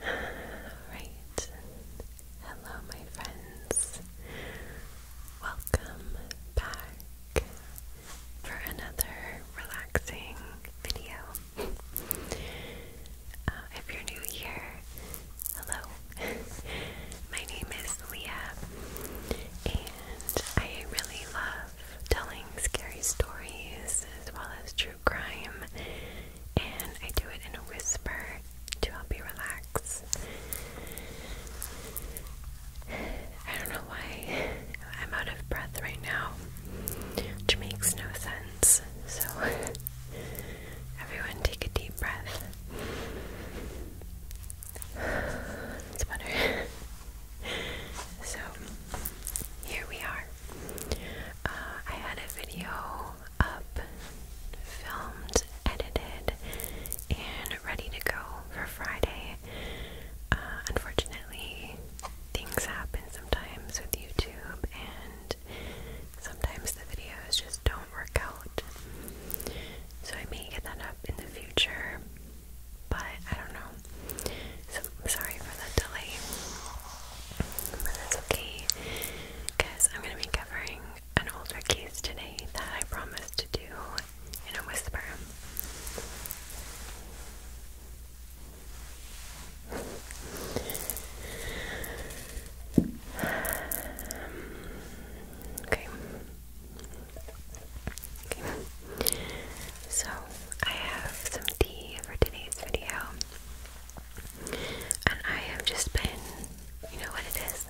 Alright, hello my friends. Welcome back for another relaxing video. Uh, if you're new here, hello. my name is Leah, and I really love telling scary stories as well as true crime, and I do it in a whisper to help you relax. I don't know why I'm out of breath right now, which makes no sense. So, everyone, take a deep breath. It's better. so here we are. Uh, I had a video up, filmed, edited, and ready to go for Friday. Uh, unfortunately, things happen sometimes with YouTube, and sometimes the videos just don't work out. So I may get that up in the future but I don't know. So am sorry for the delay, but that's okay because I'm going to be covering an older case today that I promised to do in a whisper. okay. Okay. So, I have some tea for today's video. And I have just been, you know what it is?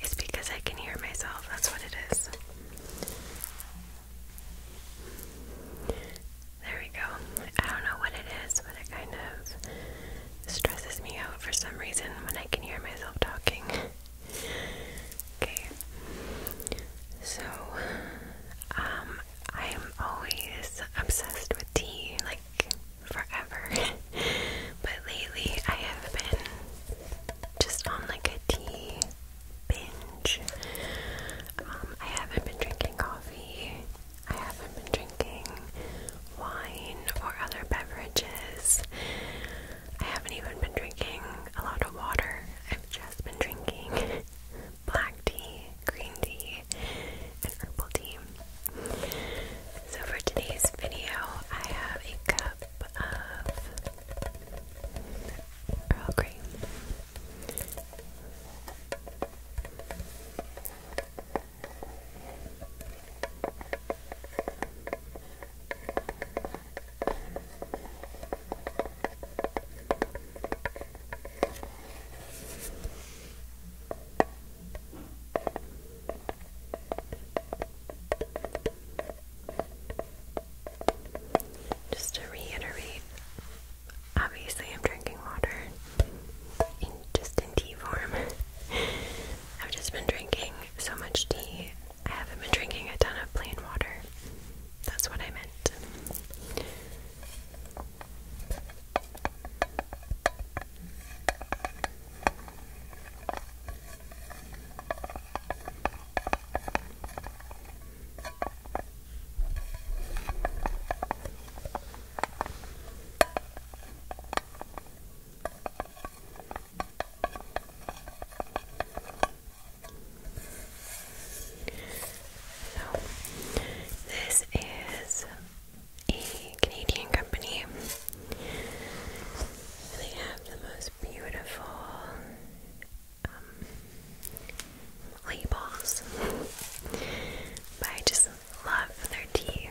It's because I can hear myself, that's what it is. There we go. I don't know what it is, but it kind of stresses me out for some reason when I can hear myself talking. Okay. So, um, I am always obsessed with tea, like forever. but lately, I have been just on like a tea binge. Um, I haven't been drinking coffee. I haven't been drinking wine or other beverages. I haven't even been drinking a lot of water. I've just been drinking black tea, green tea, and herbal tea. So for today's video, I have a cup of Earl Grey. Just to reiterate, obviously, I'm drinking water in just in tea form. I've just been drinking so much tea I haven't been drinking a ton of plain water. That's what I meant. So, this is a Canadian company. They have the most beautiful um, labels. But I just love their tea.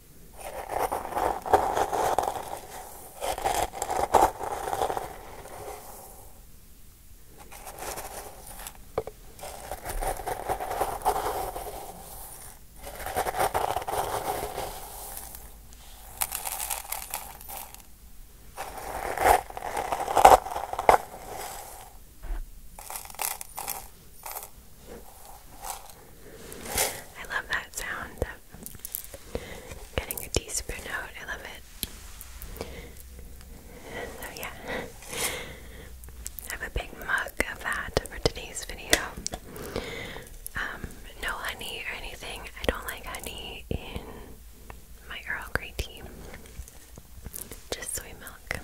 I love that sound. That Getting your teaspoon out, I love it. So, yeah, I have a big mug of that for today's video. Um, no honey or anything, I don't like honey in my Earl Grey tea, just soy milk.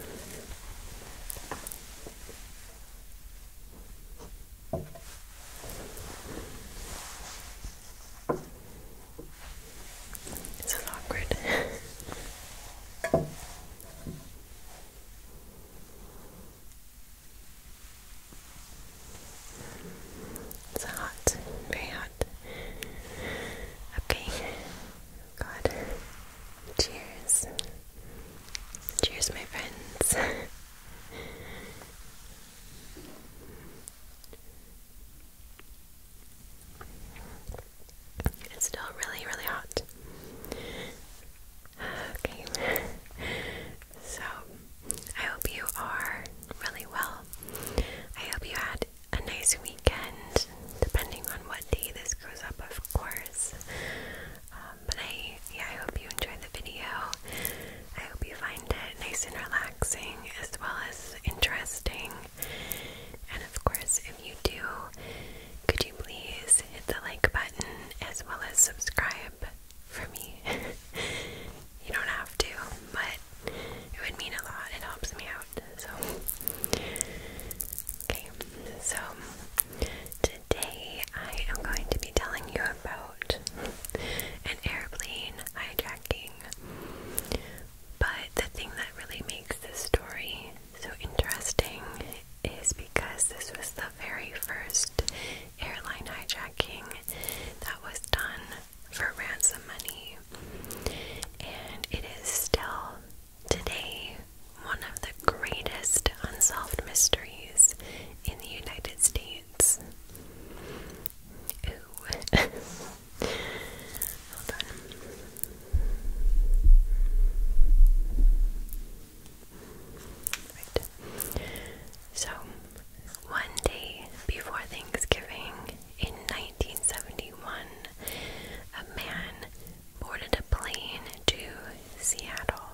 This is awkward. it's hot, very hot. Okay, God, cheers. Cheers, my friends. It's still really, really hot. Okay, so I hope you are really well. I hope you had a nice weekend, depending on what day this goes up, of course. Um, but I, yeah, I hope you enjoyed the video. I hope you find it nice and relaxing as well as interesting. And of course, if you do, could you please hit the like button as well as subscribe for me? you don't have to, but it would mean a lot. It helps me out. So, okay, so today I am going to be telling you about an airplane hijacking. But the thing that really makes this story so interesting is because this was the very first airline hijacking that was done for ransom money. And it is still today one of the greatest unsolved mysteries in the United States. So, one day before Thanksgiving in 1971, a man boarded a plane to Seattle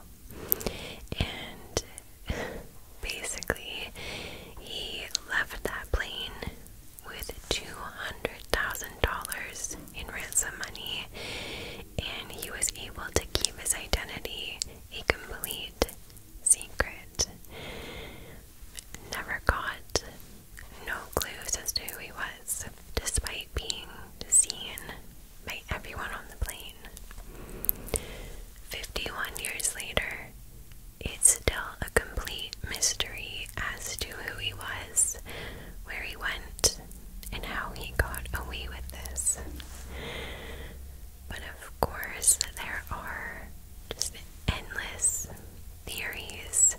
and basically, he left that plane with $200,000 in ransom money, and he was able to keep his identity a complete secret. Never caught, no clues as to who he was, despite being seen by everyone on the plane. 51 years later, it's still a complete mystery as to who he was, where he went, and how he got away with this. But of course, there are just endless theories,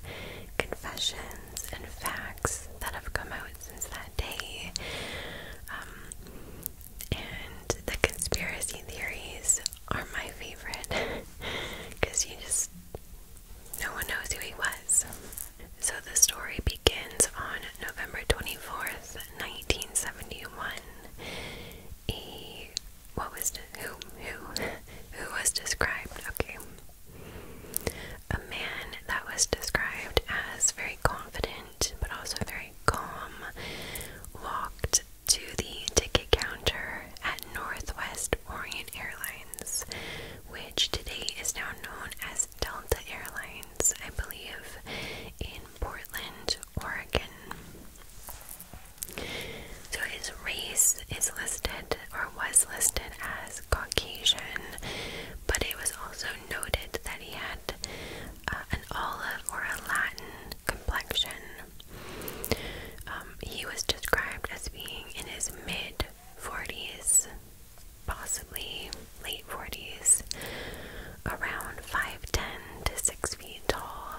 confessions, and facts that have come out since that day. Um, and the conspiracy theories are my favorite because you just no one knows who he was. So the story begins on November 24th, 1971. A what was who who who was described? Okay. A man that was described as very confident but also very calm, walked to the ticket counter at Northwest Orient Airlines, which today is now known as Delta Airlines, I believe, in Portland, Oregon. So his race is listed or was listed as Caucasian, but it was also noted that he had uh, an olive or a Latin complexion. Um, he was described as being in his mid 40s, possibly late 40s, around 5'10 to 6 feet tall,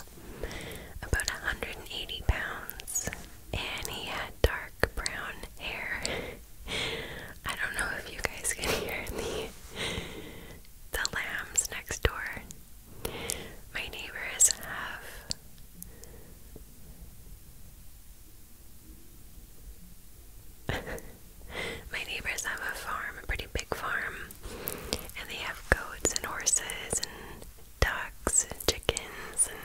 about 180 pounds, and he had dark brown hair. I don't know if you guys can hear the the lambs next door. My neighbors have My neighbors have a farm, a pretty big farm, and they have goats and horses and ducks and chickens and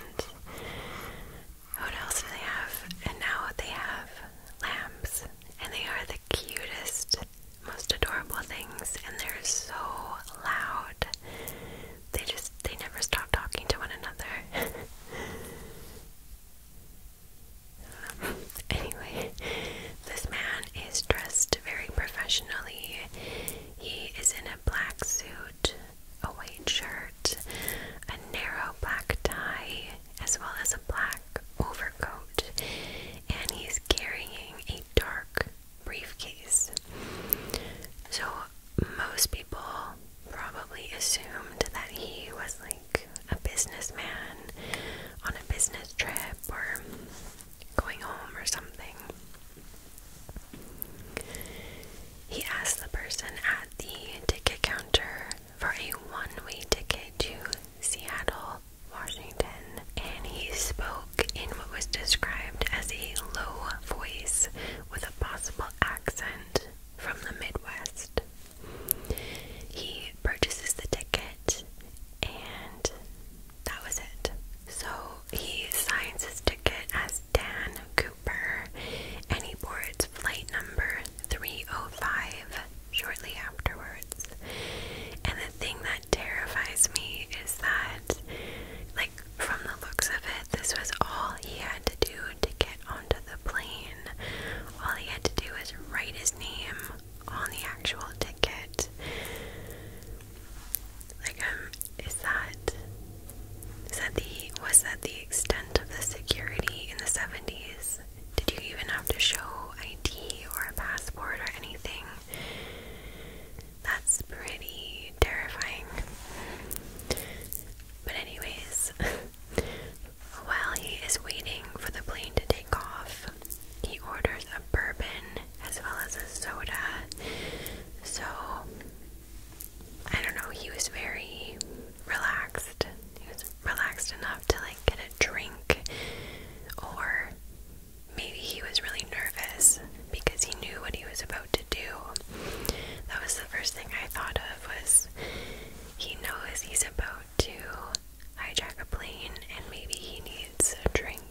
what else do they have? And now they have lambs and they are the cutest, most adorable things, and they're so loud. They just, they never stop talking to one another. Um, anyway, this man is dressed very professionally. He is in a black suit, a white shirt, a narrow black tie, as well as a black overcoat and he's carrying a dark briefcase. So, most people probably assumed that he was like a businessman on a business trip or going home or something. He asked the person at the ticket counter for a one way ticket to Seattle, Washington, and he spoke in what was described as a low voice with a possible accent from the Midwest. He purchases the ticket, and that was it. So he signs his ticket as Dan Cooper, and he boards flight number 305 shortly afterwards. And the thing that that terrifies me is that, like, from the looks of it, this was all he had to do to get onto the plane. All he had to do was write his name on the actual ticket. Like, um, is that. Is that the. Was that the extent of the security in the 70s? Did you even have to show ID or a passport or anything? That's pretty terrifying. But, anyways, while he is waiting for the plane to take off, he orders a bourbon as well as a soda. So, I don't know, he was very relaxed. He was relaxed enough to like get a drink or maybe he was really nervous because he knew what he was about to do. That was the first thing I thought of was he knows he's about to hijack a plane and maybe he needs a drink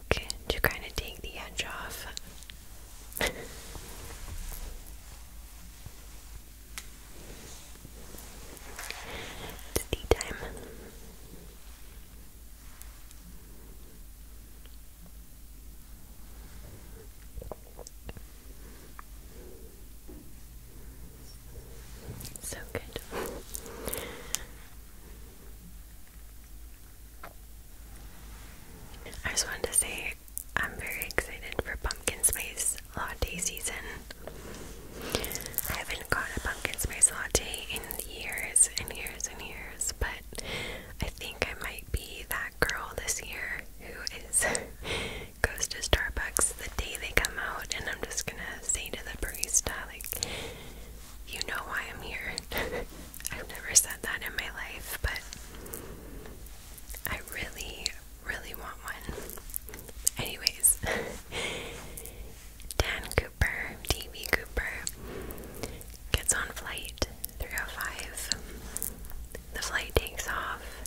to kind of take the edge off. tea time. So good. I just wanted to say I'm very excited for pumpkin spice latte season. I haven't got pumpkin my latte in years and years and years, but I think I might be that girl this year who is goes to Starbucks the day they come out, and I'm just gonna say to the barista, like, you know why I'm here. I've never said that in my life, but I really, really want one. Anyways, Dan Cooper, D.B. Cooper, gets on flight 305. The flight takes off,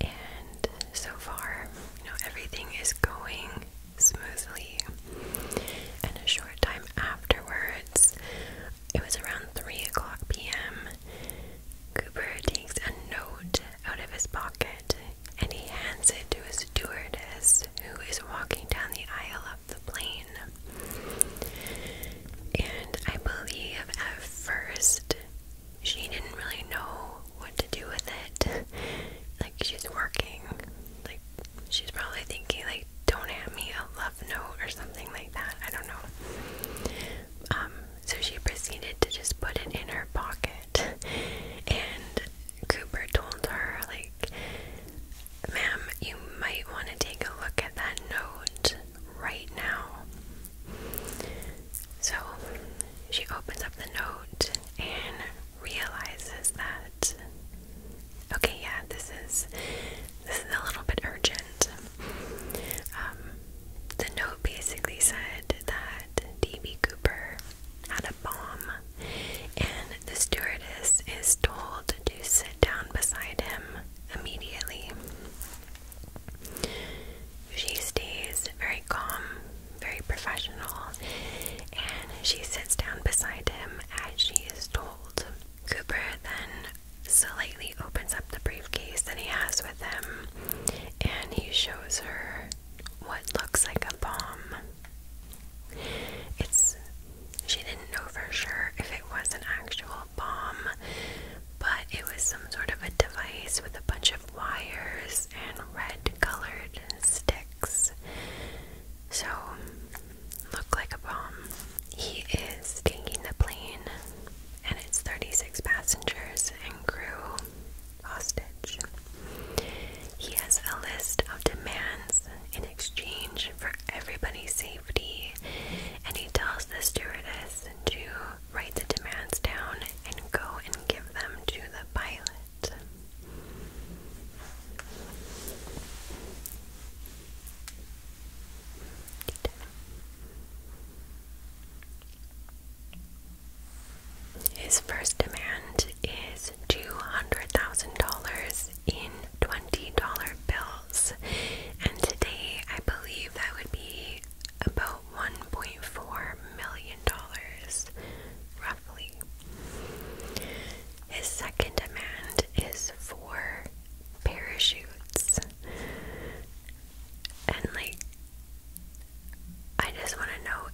and so far, you know, everything is going smoothly. And a short time afterwards, it was around 3 o'clock p.m., Cooper takes a note out of his pocket and he hands it to a stewardess who is walking down the aisle the plane. And I believe at first she didn't really know what to do with it. like she's working. Like she's probably thinking like don't hand me a love note or something like that. I don't know. Um, so she proceeded to just put it in her pocket and Cooper told her, like, ma'am, you might want to take a look at that note right now. So she opens up the note and realizes that okay, yeah, this is this is a little bit urgent. Um, the note basically said that DB Cooper had a bomb and the stewardess is told to sit down beside him immediately. She stays very calm, very professional, and she sits down beside him as she is told. Cooper then slightly opens up the briefcase that he has with him and he shows her what looks like a bomb. It's she didn't know for sure if it was an actual bomb, but it was some sort of a device with a bunch of wires and red colored sticks. So, looked like a bomb. He is taking the plane and its 36 passengers and crew hostage. He has a list of demands exchange for everybody's safety. And he tells the stewardess to write the demands down and go and give them to the pilot. His first demand is $200,000 in $20 bills. And today, I believe that would be about $1.4 million, roughly. His second demand is for parachutes. And, like, I just want to know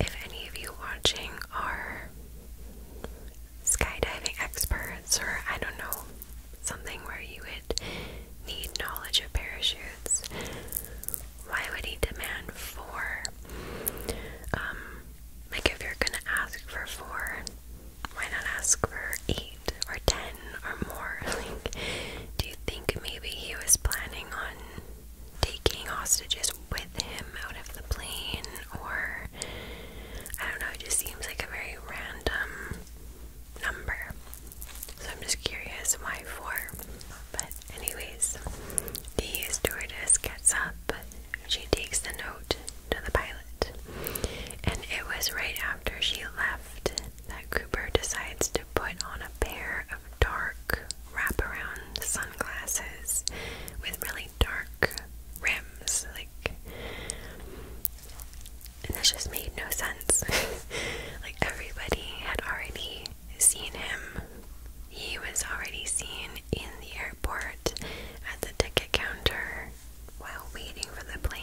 if any of you watching are skydiving experts, or I don't know, something where you would need knowledge of parachutes. Why would he demand four? Um, like if you're gonna ask for four, why not ask for eight or ten or more? Like, do you think maybe he was planning on taking hostages with him out of the plane or I don't know, it just seems like a very random number. So I'm just curious why four. But, anyways, the stewardess gets up. She takes the note to the pilot. And it was right after she left that Cooper decides to put on a pair of dark wraparound sunglasses with really dark rims, like and that just made no sense. like everybody had already seen him. He was already seen in the airport at the ticket counter while waiting for the plane.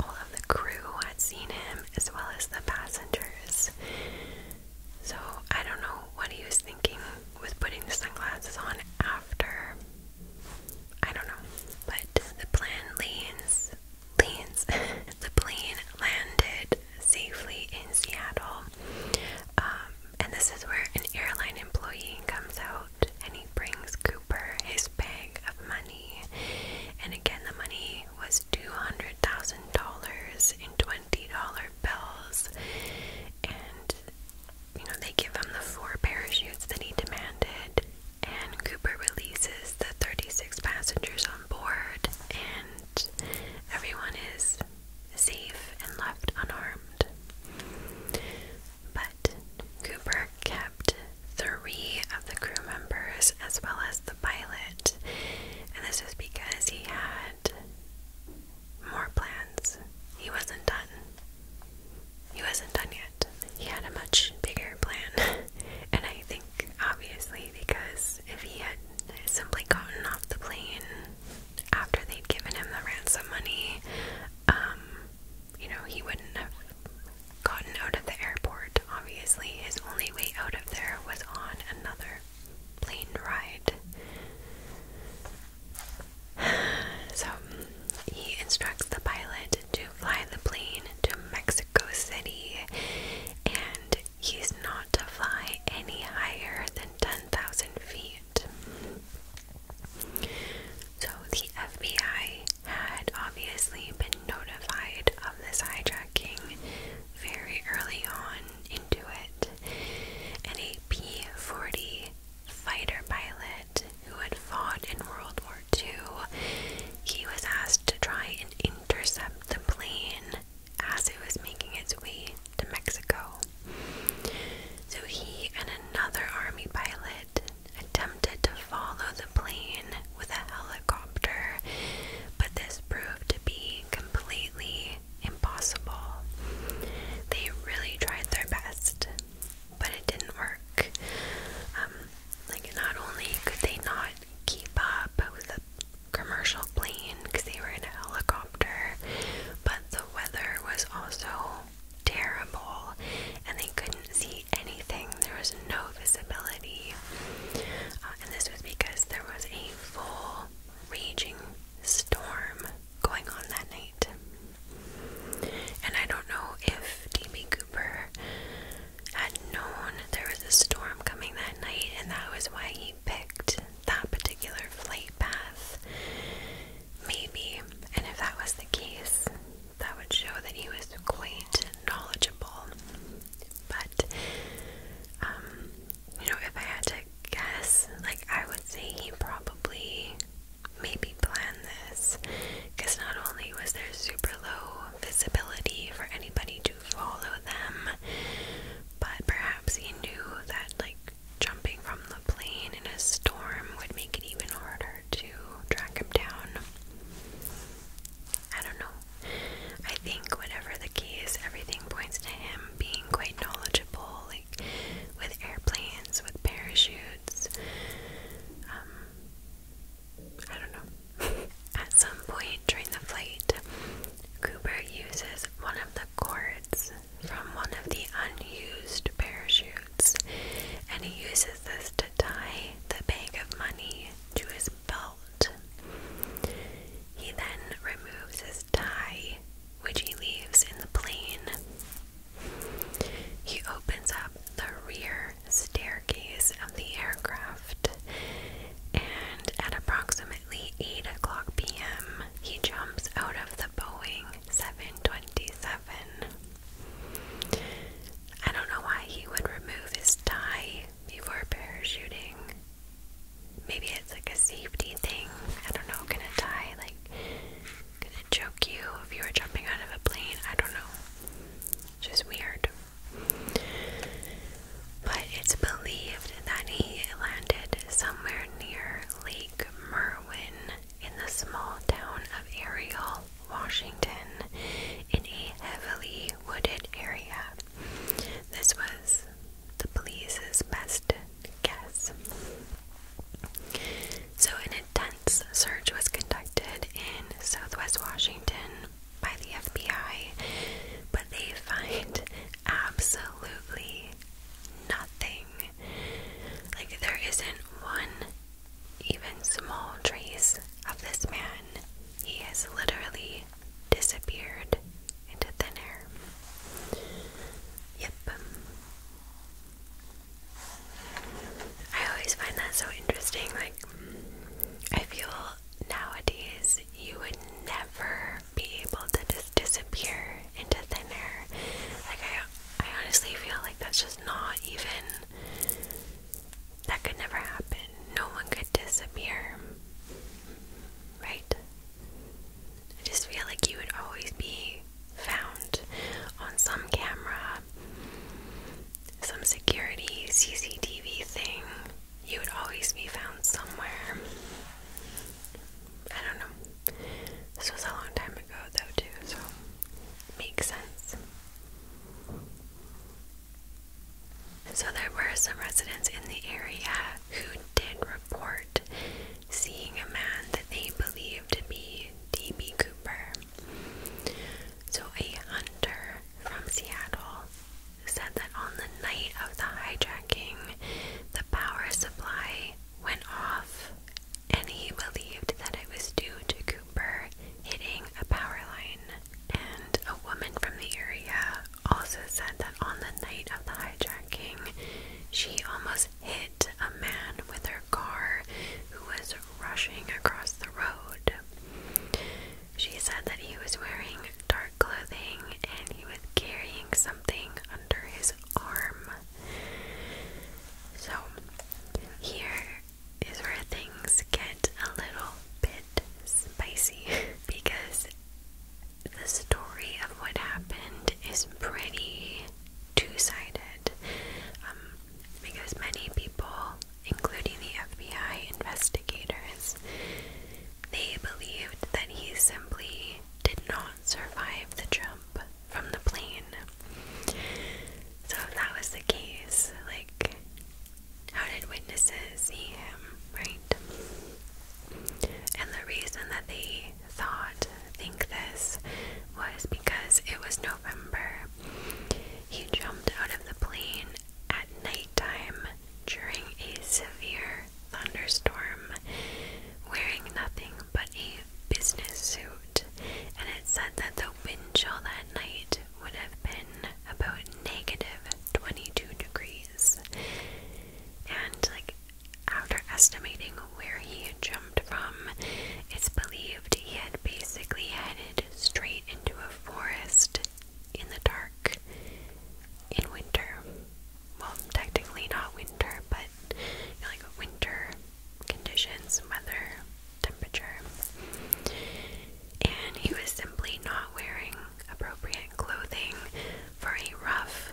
All of the crew had seen him as well as the passengers. So I don't know what he was thinking with putting the sunglasses on after. I don't know. But the plane leans, leans. the plane landed safely in Seattle. Um, and this is where an airline employee comes out and he brings Cooper his bag of money. And again, the money was $200,000 in $20 bills. And you know, they give him the four parachutes that he demanded, and Cooper releases the 36 passengers on board, and everyone is safe and left unharmed. But Cooper kept three of the crew members as well as the pilot, and this was because he had more plans. He wasn't done. He wasn't done yet. He had a much bigger plan, and I think obviously because if he had simply gotten off the plane after they'd given him the ransom money, um, you know, he wouldn't have gotten out of the airport. Obviously, his only way out of there was on another plane ride. So he instructs the pilot to fly the plane to Mexico City, and he's not to fly any higher than 10,000 feet. So the FBI had obviously been notified of this hijacking very early on into it, and a P 40 fighter pilot who had fought in World War II. He was asked to try and intercept the plane as it was making its way to Mexico. So he and another army pilot attempted to follow the plane with a helicopter, but this proved to be completely impossible. They really tried their best, but it didn't work. Um, like, not only could they not keep up with the commercial plane because they were in a helicopter, but the weather was also terrible and they couldn't see anything. There was no visibility. Uh, and this was because there was a full raging storm going on that night. And I don't know if DB Cooper had known there was a storm coming that night, and that was why he picked that particular flight path. Maybe. And if that was the case, that would show that he was quite knowledgeable. But, um, you know, if I had to guess, like, I would say he probably maybe plan this because not only was there super low visibility for anybody to follow them, but perhaps he knew that like jumping from the plane in a storm would make it even harder to track him down. I don't know. I think, whatever the case, everything points to him being quite knowledgeable, like with airplanes, with parachutes. Um, I don't know. At some point during the flight, Cooper uses one of the cords from one of the unused parachutes and he uses this to tie the bag of money to his belt. He then removes his tie, which he leaves in the plane, he opens up the rear staircase of the aircraft, and at approximately 8 o'clock p.m., he jumps out of the Boeing 727. I don't know why he would remove his tie before parachuting. Maybe it's like a safety thing. I don't know, can a tie like could it choke you if you were jumping out of a plane? I don't know. It's just weird. But it's believed that he landed somewhere near Lake Merwin in the small town of Ariel, Washington, in a heavily wooded area. This was the police's best guess. So, an intense search was conducted in southwest Washington by the FBI, but they find absolutely nothing. Like, there isn't one even small trace of this man. He has literally disappeared into thin air. Yep. I always find that so interesting. Like, I feel nowadays you would never be able to just disappear into thin air. Like, I, I honestly feel like that's just not even. That could never happen. No one could disappear. Right? I just feel like you would always be found on some camera, some security CCTV thing. You would always be found somewhere. I don't know. This was a long time ago, though, too, so makes sense. So there were some residents in the area who did report seeing a man that they believed to be D.B. Cooper. So, a hunter from Seattle said that on the night of the hijacking, the power supply went off, and he believed that it was due to Cooper hitting a power line. And a woman from the area also said that on the night of the hijacking, she almost hit a man with her car who was rushing across the road. She said that he was wearing dark clothing and he was carrying something under his arm. So, here is where things get a little bit spicy because the story of what happened is pretty two-sided um, because many people, including the FBI investigators, they believed that he simply did not survive the jump from the plane. So that was the case, like how did witnesses see him, right? And the reason that they thought, think this, was because it was November. He jumped out of the plane at nighttime during a severe thunderstorm, wearing nothing but a business suit, and it said that the wind chill that night would have been about negative 22 degrees. And, like, after estimating where he had jumped from, it's believed he had basically headed straight into a forest in the dark in winter. Well, technically not winter, but like winter conditions, weather, temperature. And he was simply not wearing appropriate clothing for a rough,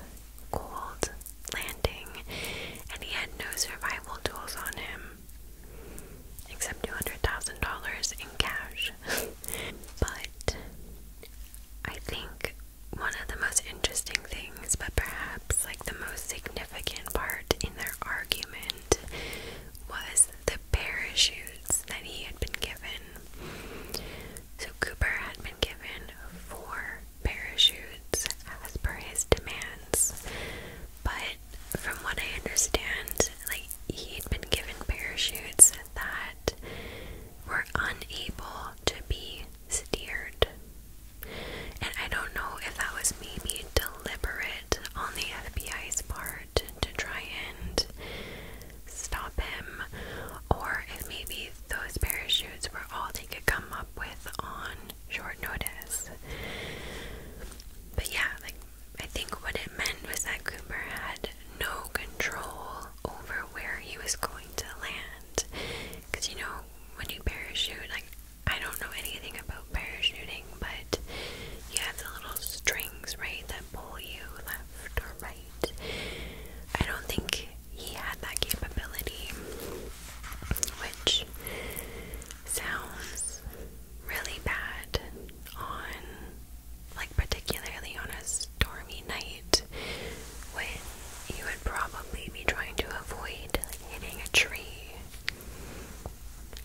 cold landing, and he had no survival tools on him except $200,000 in cash. but I think one of the most interesting things, but perhaps like the most significant part in their argument, was the parachutes that he had been given. So Cooper had been given four parachutes as per his demands. But from what I understand, like he'd been given parachutes that were unable to be steered. And I don't know if that was maybe deliberate on the FBI's part to try and stop him, or if maybe those parachutes were all they could come up with on short notice. But yeah, like I think what it meant was that Cooper had no control over where he was going to land. Because you know, when you parachute, like I don't know anything about parachuting, but you have the little strings, right, that pull you left or right. I don't think he had that capability, which sounds really bad on, like, particularly on a stormy night when you would probably be trying to avoid hitting a tree,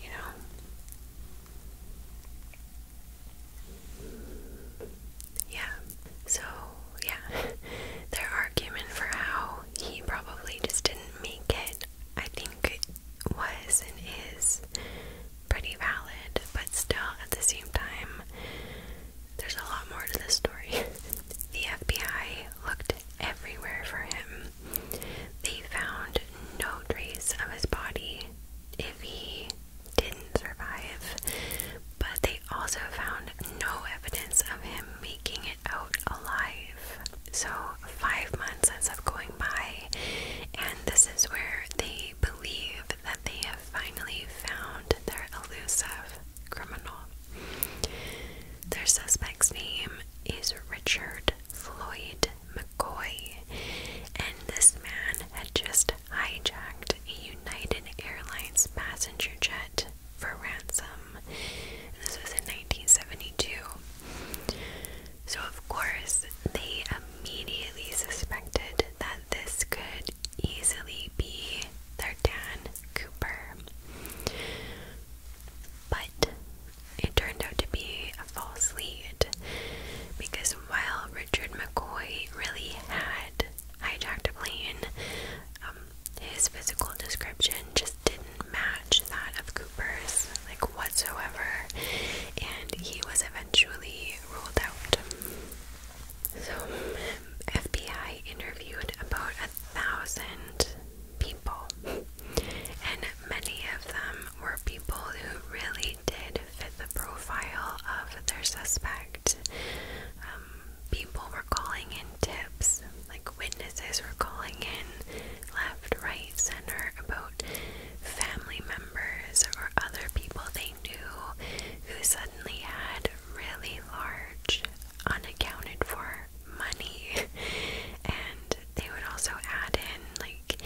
you know? Yeah, so yeah, are argument for how he probably just didn't make it I think was and is pretty valid, but still at the same time, there's a lot more to the story. the FBI looked everywhere for him. They found no trace of his body if he didn't survive, but they also found no evidence of him making it out alive. So, five months ends up going by, and this is where they believe that they have finally found their elusive criminal. Their suspect's name is Richard Floyd McCoy, and this man had just hijacked a United Airlines passenger jet for ransom. this was in 1970. So, of course, they immediately suspected that this could easily be their Dan Cooper. But it turned out to be a false lead because while Richard McCoy really had hijacked a plane, um, his physical description just just didn't match that of Cooper's, like whatsoever, and he was eventually ruled out. So, FBI interviewed about a thousand people, and many of them were people who really did fit the profile of their suspect. Um, people were calling in tips, like witnesses were calling in left, right, center about family members or other people they knew who suddenly had really large, unaccounted for money. And they would also add in, like,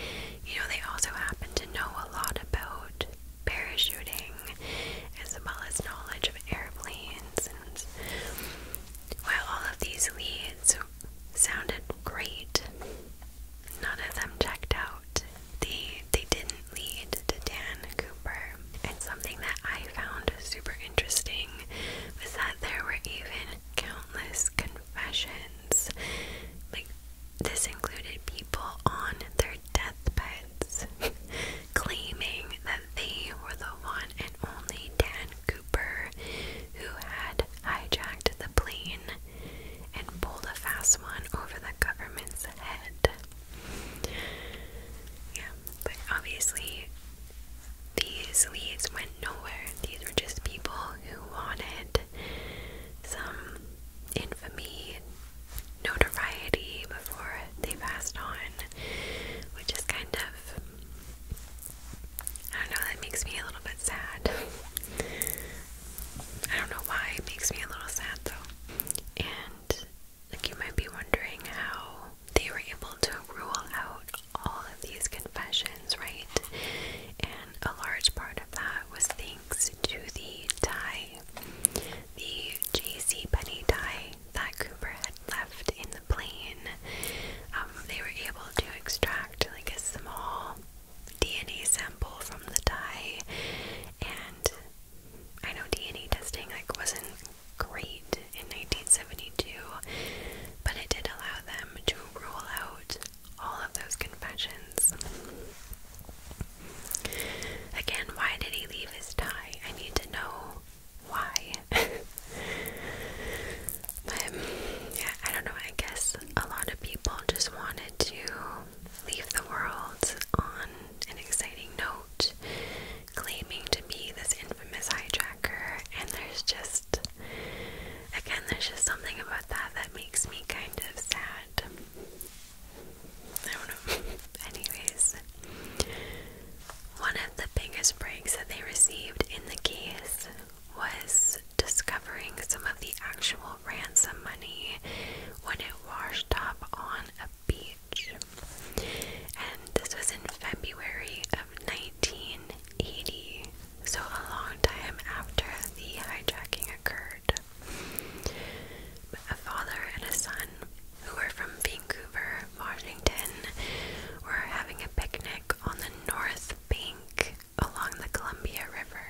you know, they also happen to know a lot about parachuting as well as knowledge of airplanes. And while all of these leads sounded great. None of them checked out. They they didn't lead to Dan Cooper. And something that I found super interesting was that there were even countless confessions. Like this included people on their deathbeds claiming that they were the one and only Dan Cooper, who had hijacked the plane and pulled a fast one over the government's head. Yeah, but obviously, these leads went nowhere. These were just people who wanted some infamy and notoriety before they passed on, which is kind of I don't know, that makes me a little bit sad. I don't know why it makes me a little sad though. And like you might be wondering how they were able to rule out all of these confessions, right? And a large part of that was thanks to the tie, the J.C. Penny tie that Cooper had left in the plane. Um, they were able to extract like a small DNA sample from the dye, and I know DNA testing like wasn't great in 1972, but it did allow them to rule out all of those confessions. Again, why did he leave his tie? I need to know why. But yeah, I don't know. I guess a lot of people just wanted to leave the world on an exciting note, claiming to be this infamous hijacker. And there's just, again, there's just something about that that makes me kind of sad. I don't know. Anyways, one of the biggest breaks that they received in the case was discovering some of the actual ransom money when it washed up on a beach. And this was in February of 1980, so a long time after the hijacking occurred. A father and a son who were from Vancouver, Washington, were having a picnic on the north Bank along the Columbia River.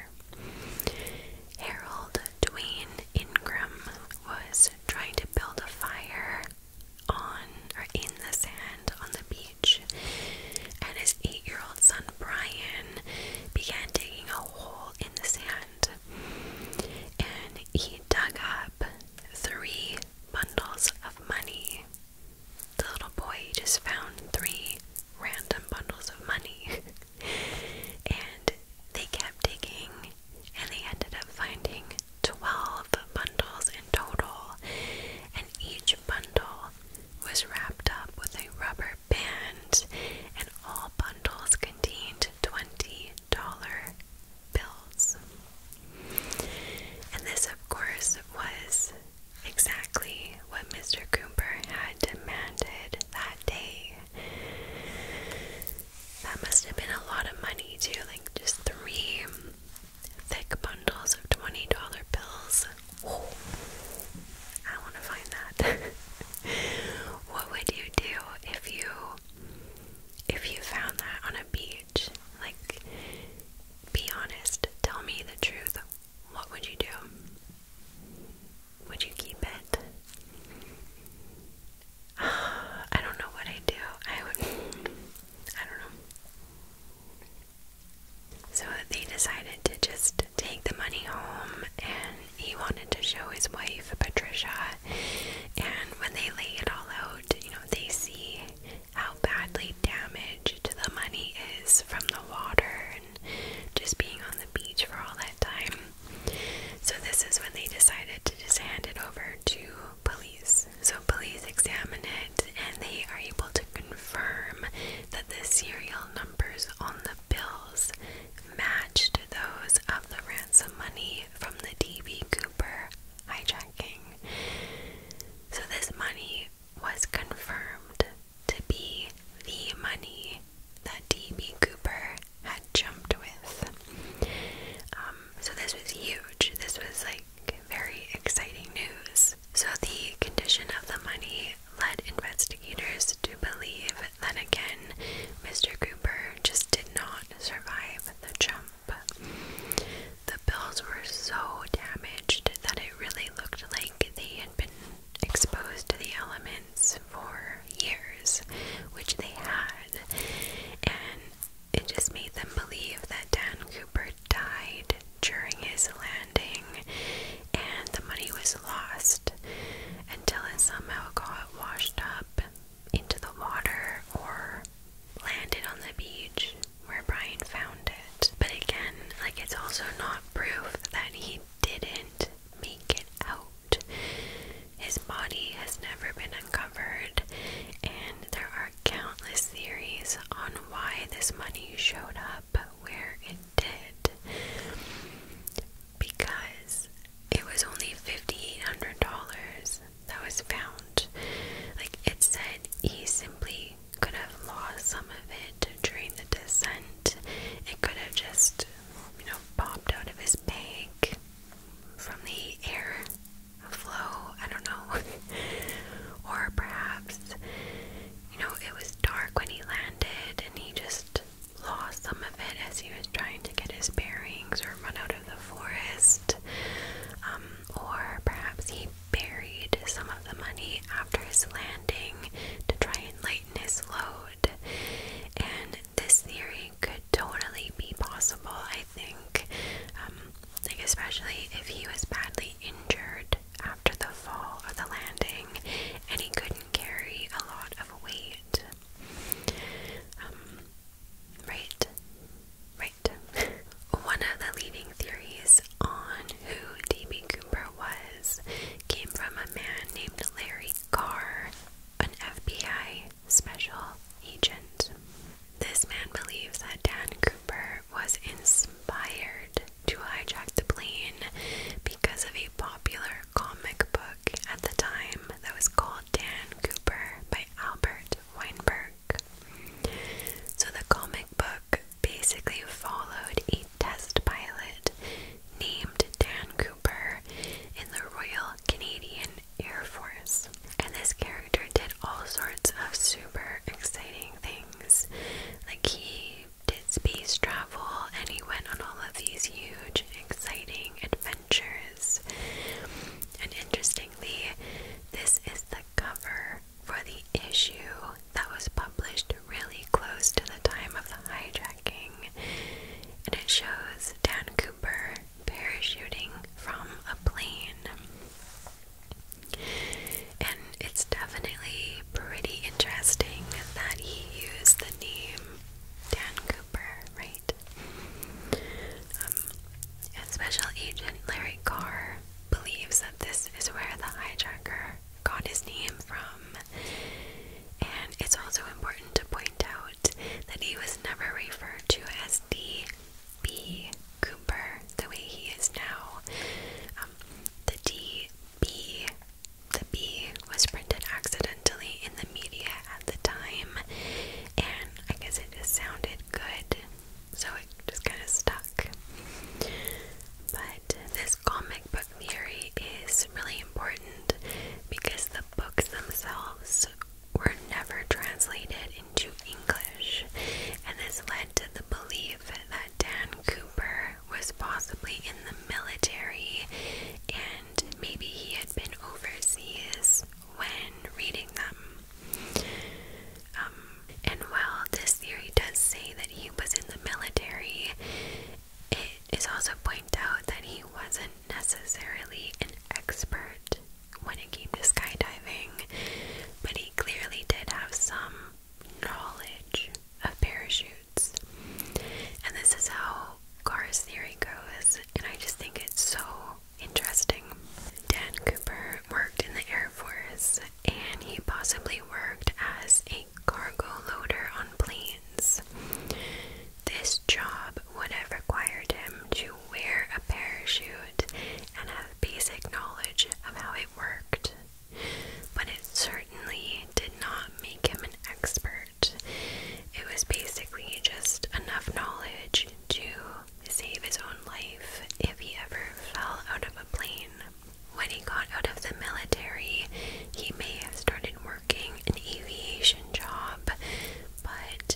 Harold Dwayne Ingram was trying to build a fire on or in the sand on the beach, and his eight year old son Brian began digging a hole in the sand. And he dug up three bundles of money the little boy just found three random bundles of money. and they kept digging, and they ended up finding 12 bundles in total. And each bundle was wrapped up with a rubber band, and all bundles contained $20 bills. And this, of course, was exactly what Mr. Cooper had demanded that day. That must have been a lot of money, to like just three thick bundles of $20 bills. I want to find that. what would you do if you if you found that on a beach? Like be honest. Tell me the truth. What would you do? Would you keep it? I don't know what I do. I would. I don't know. So they decided to just take the money home, and he wanted to show his wife, Patricia. And when they lay it all out, you know, they see how badly damaged the money is from the water and just being on the beach for all that time. So, this is when they decided to just hand it over to police. So, police examine it and they are able to confirm that the serial numbers on the bills matched those of the ransom money from the D.B. Cooper hijacking. So, this money was confirmed to be the money that D.B. Cooper had jumped with. Um, so this was huge. This was like very exciting news. So the condition of the money led investigators to believe that again, Mr. Cooper just did not survive the jump. The bills were so damaged acknowledged that it really looked like they had been exposed to the elements for years, which they had, and it just made them believe that Dan Cooper died during his landing and the money was lost until it somehow got washed up into the water or landed on the beach where Brian found it. But again, like it's also not proof that he didn't make it out. His body has never been uncovered, and there are countless theories on why this money showed up where it did. Because it was only $5,800 that was found. Like it said, he simply could have lost some of it during the descent. It could have just, you know, popped out of his bag from the air flow. I don't know. or perhaps, you know, it was dark when he landed and he just lost some of it as he was trying to get his bearings or run out of the forest. Um, or perhaps he buried some of the money after his landing to try and lighten his load. And this theory could totally be possible, I think. Um, like, especially if he was badly injured after the fall or the landing and he couldn't carry a lot of weight. Um, right? Right. One of the leading theories on who D.B. Cooper was came from a man named Larry Carr, an FBI special agent. This man believes that Dan Cooper was inspired to hijack the plane because of a popular comic book at the time that was called Dan Cooper by Albert Weinberg. So the comic book basically followed a test pilot named Dan Cooper in the Royal Canadian Air Force. And this character did all sorts of super exciting things. Like he did space travel and he went on all of these huge, exciting adventures. And interestingly, this is the cover for the issue that was published really close to the time of the hijacking, and it shows Dan Cooper parachuting from a plane. And it's definitely pretty interesting that he used the name Dan Cooper, right? Um, and Special Agent Larry Carr believes that this is where the hijacker got his name from. And it's also important to point out that he was never referred to as D.B. Cooper the way he is now. Um, the D.B. The B was printed accidentally in the media at the time, and I guess it just sounded good, so it just kind of stuck. But this comic book theory is really important because the books themselves were never translated into English, and this led to the belief that Dan Cooper was possibly in the military and maybe he had been overseas when reading them. Um, and while this theory does say that he was in the military, it is also pointed out that he wasn't necessarily an expert when it came to skydiving, but he clearly did have some knowledge of parachutes. And this is how Carr's theory goes, and I just think it's so interesting. Dan Cooper worked in the Air Force and he possibly worked as a cargo loader on planes. This job would have required him to wear a parachute and have basic knowledge of how it worked, but it certainly did not make him an expert. It was basically just enough knowledge to save his own life if he ever fell out of a plane. When he got out of the military, he may have started working an aviation job, but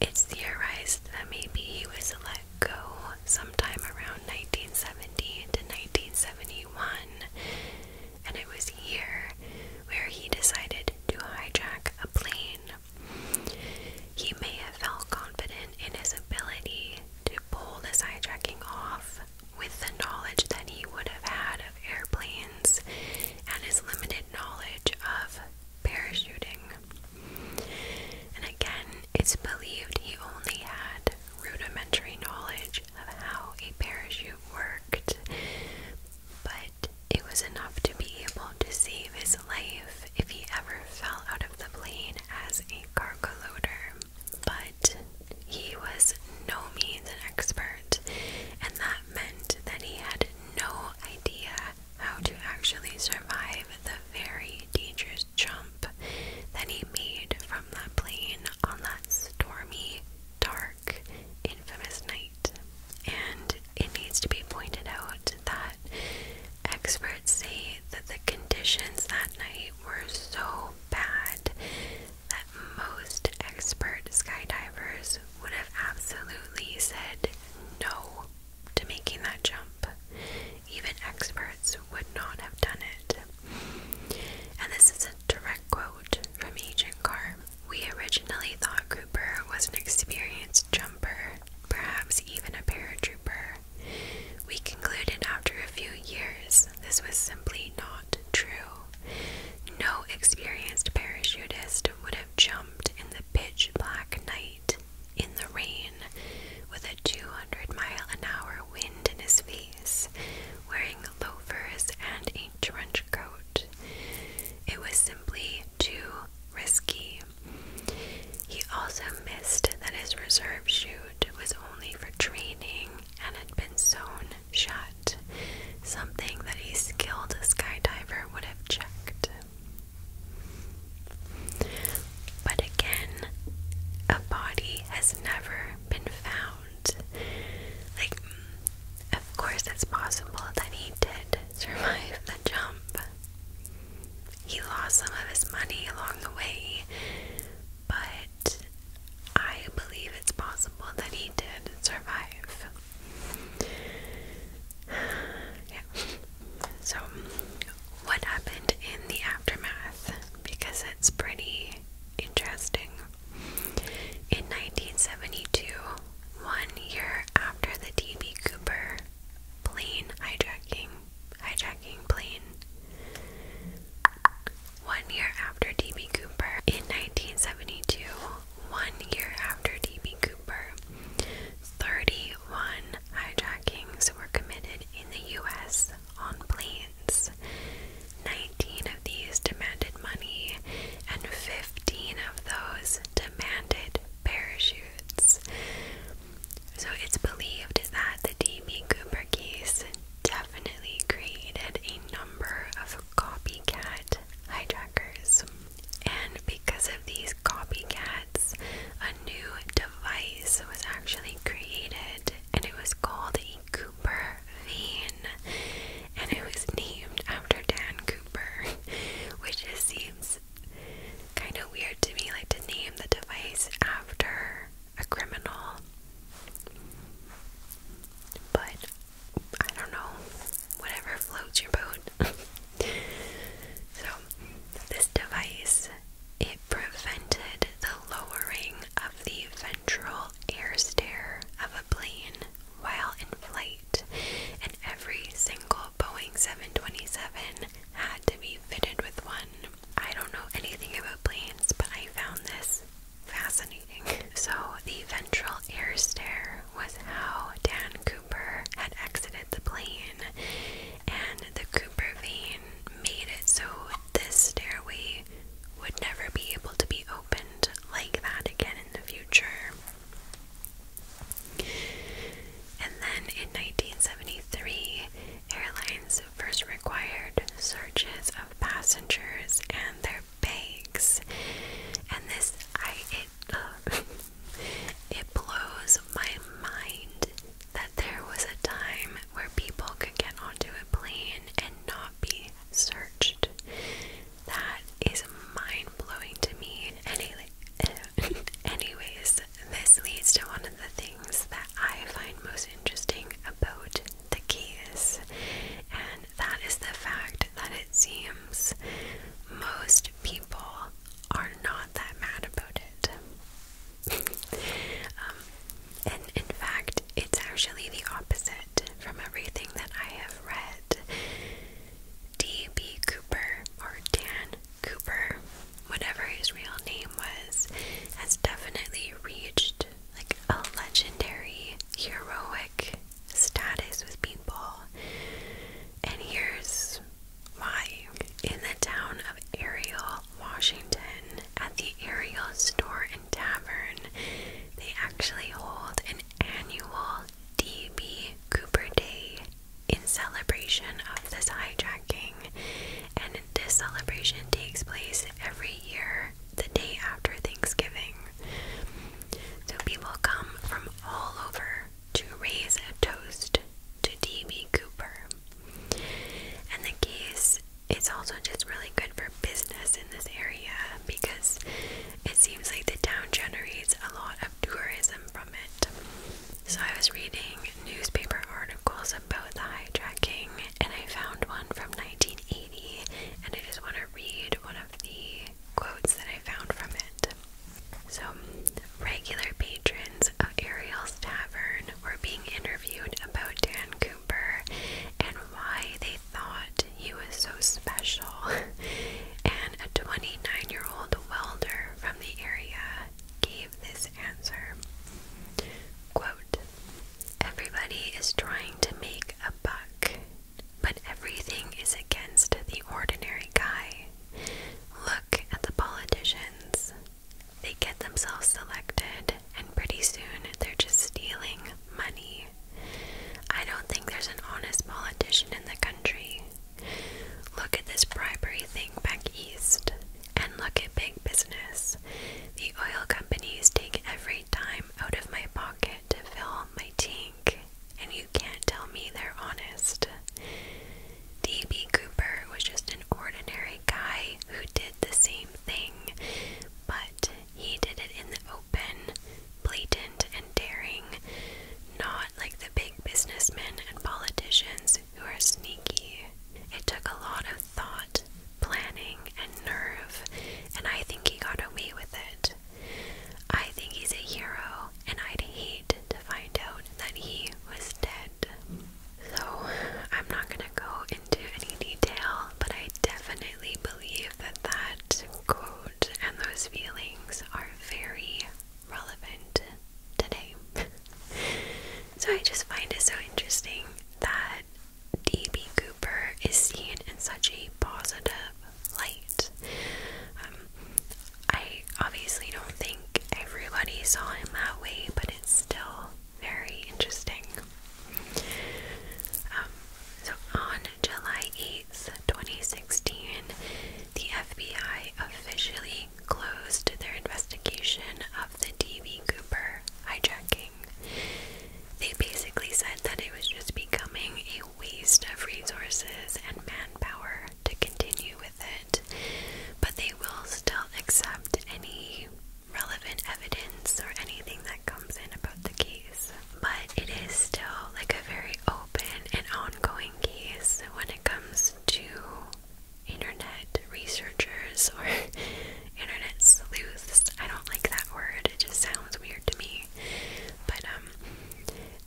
it's theorized that maybe he was let go sometime around 1970 to 1971, and it was here where he decided to hijack a plane. He may have felt confident in his ability to pull this hijacking off, with the knowledge that he would have had of airplanes and his limited knowledge of parachuting. And again, it's believed he only had rudimentary knowledge of how a parachute worked, but it was enough to be able to save his life if he ever fell out of the plane as a cargo loader but he was no means an expert, and that meant that he had no idea how to actually survive the very dangerous jump that he made from that plane on that stormy, dark, infamous night. And it needs to be pointed out that experts say that the conditions that night were so bad that most expert skydivers would have absolutely said no to making that jump. Even experts would not have done it. And this is a direct quote from Agent Carr. We originally thought Cooper was an experienced jumper, perhaps even a paratrooper. We concluded after a few years this was simply not true. No experienced parachutist would have jumped in the pitch black night, in the rain, with a 200 mile an hour wind in his face, wearing loafers and a trench coat. It was simply too risky. He also missed that his reserve chute was only for training and had been sewn shut, something that a skilled skydiver would have checked. But again, a body has never been found. Like, of course, it's possible that he did survive the jump. He lost some of his money along the way, but I believe it's possible that he did survive. Yeah. So, what happened in the aftermath? Because it's pretty interesting. In 1972, one year after the D.B. Cooper plane hijacking, hijacking plane, one year after D.B. Cooper. In 1972, one year after D.B. Cooper, 31 hijackings were committed in the U.S. on planes. 19 of these demanded money, and 15 of those demanded parachutes. So it's believed that the D.B. Cooper case definitely created a number of copycat hijackers. And because of these copycats, a new device was actually created and it was called a Cooper vein. And it was named after Dan Cooper, which just seems kind of weird to me, like to name the device after a criminal. But I don't know, whatever floats your boat. so, this device it prevented the lowering of the ventral air stair of a plane while in flight, and every single Boeing 727 had to be fitted with one. I don't know anything about planes, but I found this Fascinating. So, the ventral air stair was how Dan Cooper had exited the plane, and the Cooper vein made it so this stairway would never be able to be opened like that again in the future. And then in 1973, Airlines first required searches of passengers and their bags, and this I it uh, it blows my mind that there was a time where people could get onto a plane and not be searched. That is mind blowing to me. Anyway, anyways, this leads to one of the things that I find most interesting about the case, and that is the fact that it seems most people are not that mad about it. Um, and in fact, it's actually the opposite from everything that I have read. D.B. Cooper, or Dan Cooper, whatever his real name was, has definitely reached like a legendary heroic status with people. And here's why. In the town of Ariel, Washington, at the Ariel Store and Tavern, they actually hold an annual D.B. Cooper Day in celebration of this hijacking. And this celebration takes place every year the day after Thanksgiving. So people come from all over to raise a toast to D.B. Cooper. And the case is also just really good for business in this area because it seems like the town generates a lot of tourism from it. So I was reading newspaper articles about the hijacking and I found one from 1980 and I just want to read one of the quotes that I found from it. So, regular patrons of Ariel's Tavern were being interviewed about Dan Cooper and why they thought he was so special. and a 29 year old welder from the area gave this answer Quote, Everybody is trying to make a buck, but everything is against the ordinary guy. Look at the politicians. They get themselves selected, and pretty soon they're just stealing money. I don't think there's an honest politician in the country. Look at this bribery thing back east, and look at big business. The oil companies take every dime out of my pocket to fill my tank, and you can't tell me they're honest. D.B. Cooper was just an ordinary guy who did the same thing, but he did it in the open, blatant, and daring, not like the big businessmen and politicians who are sneaky. It took a lot of thought planning and nerve, and I think he got away with it. I think he's a hero, and I'd hate to find out that he was dead. So, I'm not gonna go into any detail, but I definitely believe that that quote and those feelings are very relevant today. so, I just find it so interesting that D.B. Cooper is seen in such a positive light. Um, I obviously don't think everybody saw him that way, but it's still very interesting. Um, so on July 8th, 2016, the FBI officially closed their investigation of the D.B. Cooper hijacking. They basically said that it was just becoming a waste of resources and manpower to continue with it, but they will still accept any relevant evidence or anything that comes in about the case. But it is still like a very open and ongoing case when it comes to internet researchers or internet sleuths. I don't like that word. It just sounds weird to me. But um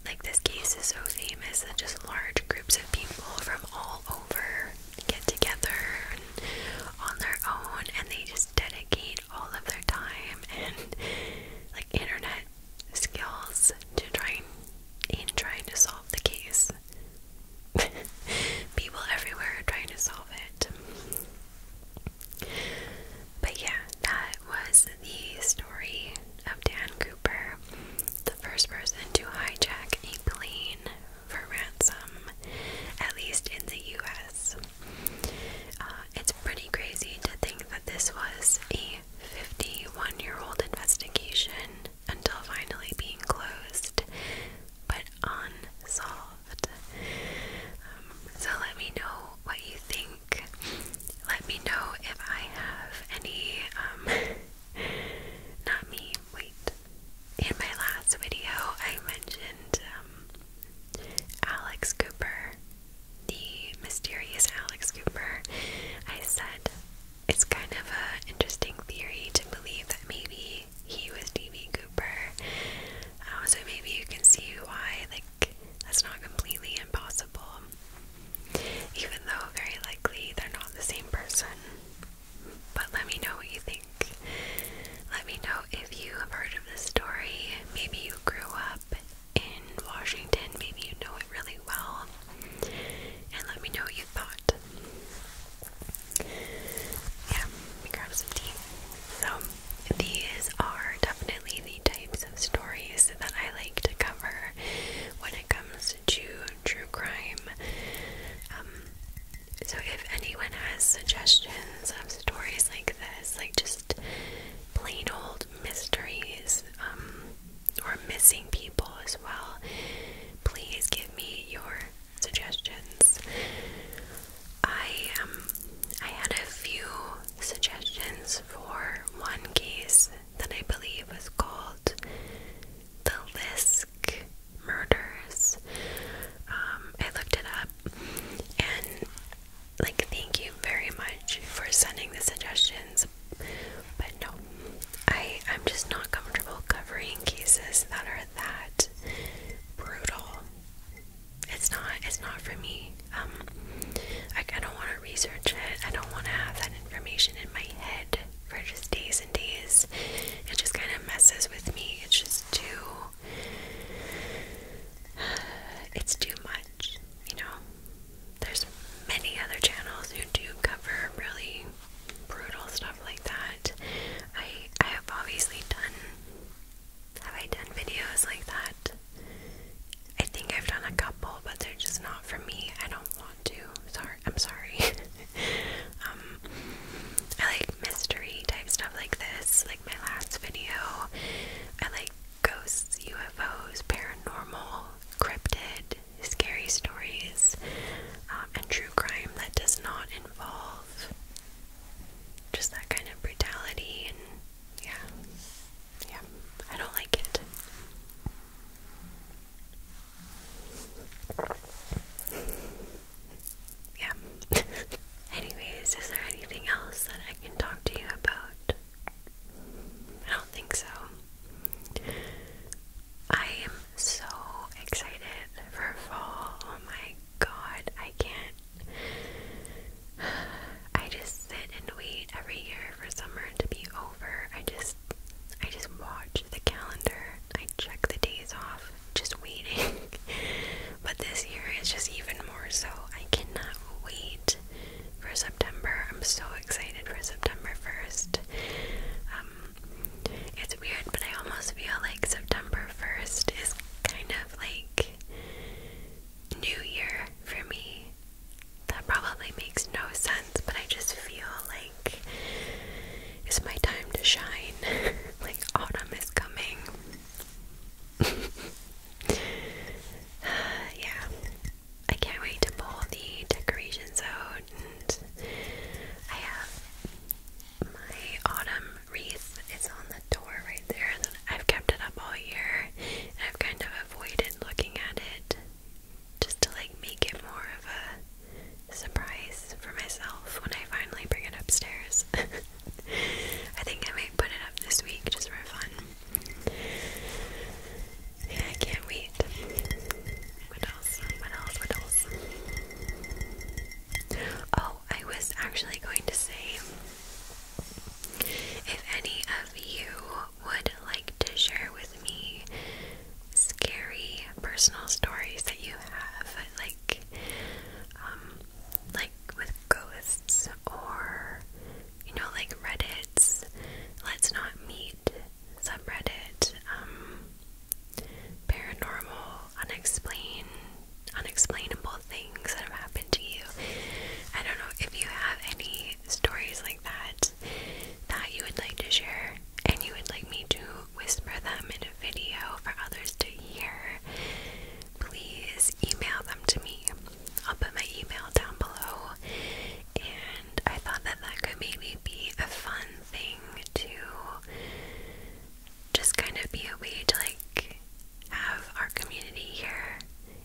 like this case is so famous that just large groups of people from all over get together and on their own and they just dedicate all of their time and like internet skills to trying in trying to solve the case. people everywhere are trying to solve it. But yeah, that was the story of Dan Cooper, the first person to hijack a plane for ransom, at least in the US. Uh, it's pretty crazy to think that this was a 51 year old investigation until finally being closed, but unsolved. Um, so let me know what you think. Let me know if I have any, um, not me, wait. In my last video, I mentioned um, Alex Cooper, the mysterious Alex Cooper. I said it's kind of an interesting theory to believe that maybe he was D.B. Um, so maybe you can see why, like, that's not completely impossible. Even though very likely they're not the same person. But let me know what you think. Let me know if you have heard of this story. Maybe you grew up in Washington, maybe you know it really well. And let me know what you thought. Yeah, let me grab some tea. So, these are definitely the types of stories that I like to cover when it comes to true crime. Um, so, if anyone has suggestions of stories like this, like just plain old mysteries um, or missing people as well, please give me your suggestions. I um I had a few suggestions for one case that I believe was called the Lisk murders. Um, I looked it up and like thank you very much for sending the suggestions. But no, I I'm just not comfortable covering cases that are that brutal it's not it's not for me. Um, I, I don't want to research it. I don't want to have that information in my head for just days and days. It just kind of messes with me. It's just too. it's too much, you know. There's many other channels who do cover really brutal stuff like that. I I have obviously done have I done videos like that? I think I've done a couple, but they're just not for me. I don't want to. Sorry, I'm sorry. um, I like mystery type stuff like this, like my last video. I like ghosts, UFOs, paranormal, cryptid, scary stories, um, and true crime that does not involve just that kind of brutality and yeah. Yeah. I don't like it. Yeah. Anyways, is there anything else that I can talk to you about? I don't think so. I am so excited for fall. Oh my god, I can't. I just sit and wait every year for summer to be over. I just I just watch the calendar. I check the days off, just waiting. but this year is just even more so. I cannot wait for September. I'm so excited for September 1st. Um, it's weird, but I almost feel like September 1st is kind of like new year for me. That probably makes no sense, but I just feel like it's my time to shine. like autumn is coming. yeah. I can't wait to pull the decorations out and I have my autumn wreath is on the door right there. I've kept it up all year. And I've kind of avoided looking at it just to like make it more of a surprise for myself when I finally bring it upstairs. I think I might put it up this week just for fun. I can't wait. What else? What else? What else? Oh, I was actually going to say if any of you would like to share with me scary personal stories that you have, like, um, like with ghosts or you know, like Reddit's Let's Not Meet subreddit, um, paranormal, unexplained unexplainable things that have happened to you. I don't know if you have any stories like that that you would like to share and you would like me to whisper them in a video for others to hear. Please email them to me. I'll put my email down below. And I thought that that could maybe be a fun thing to just kind of be a way to like have our community here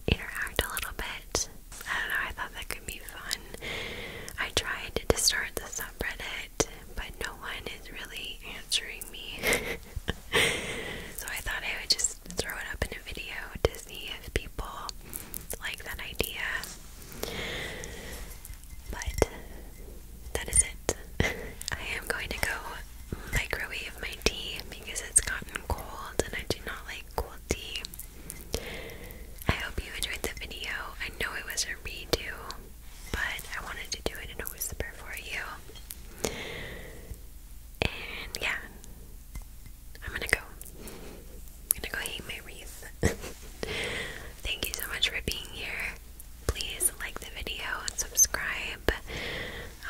interact a little bit. I don't know, I thought that could be fun. I tried to start the subreddit, but no one is really answering me. so I thought I would just throw it up in a video to see if people like that idea. But that is it. I am going to go microwave my tea because it's gotten cold and I do not like cold tea. I hope you enjoyed the video. I know it was a redo, but I wanted to do it in a whisper for you. And yeah, I'm gonna go. I'm gonna go hang my wreath. Thank you so much for being here. Please like the video and subscribe.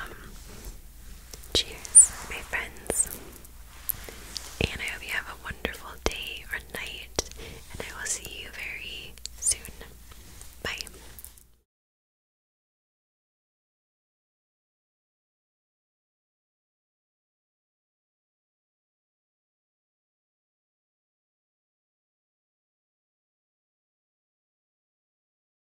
Um, Cheers, my friends. And I hope you have a wonderful day or night, and I will see you very soon. Bye.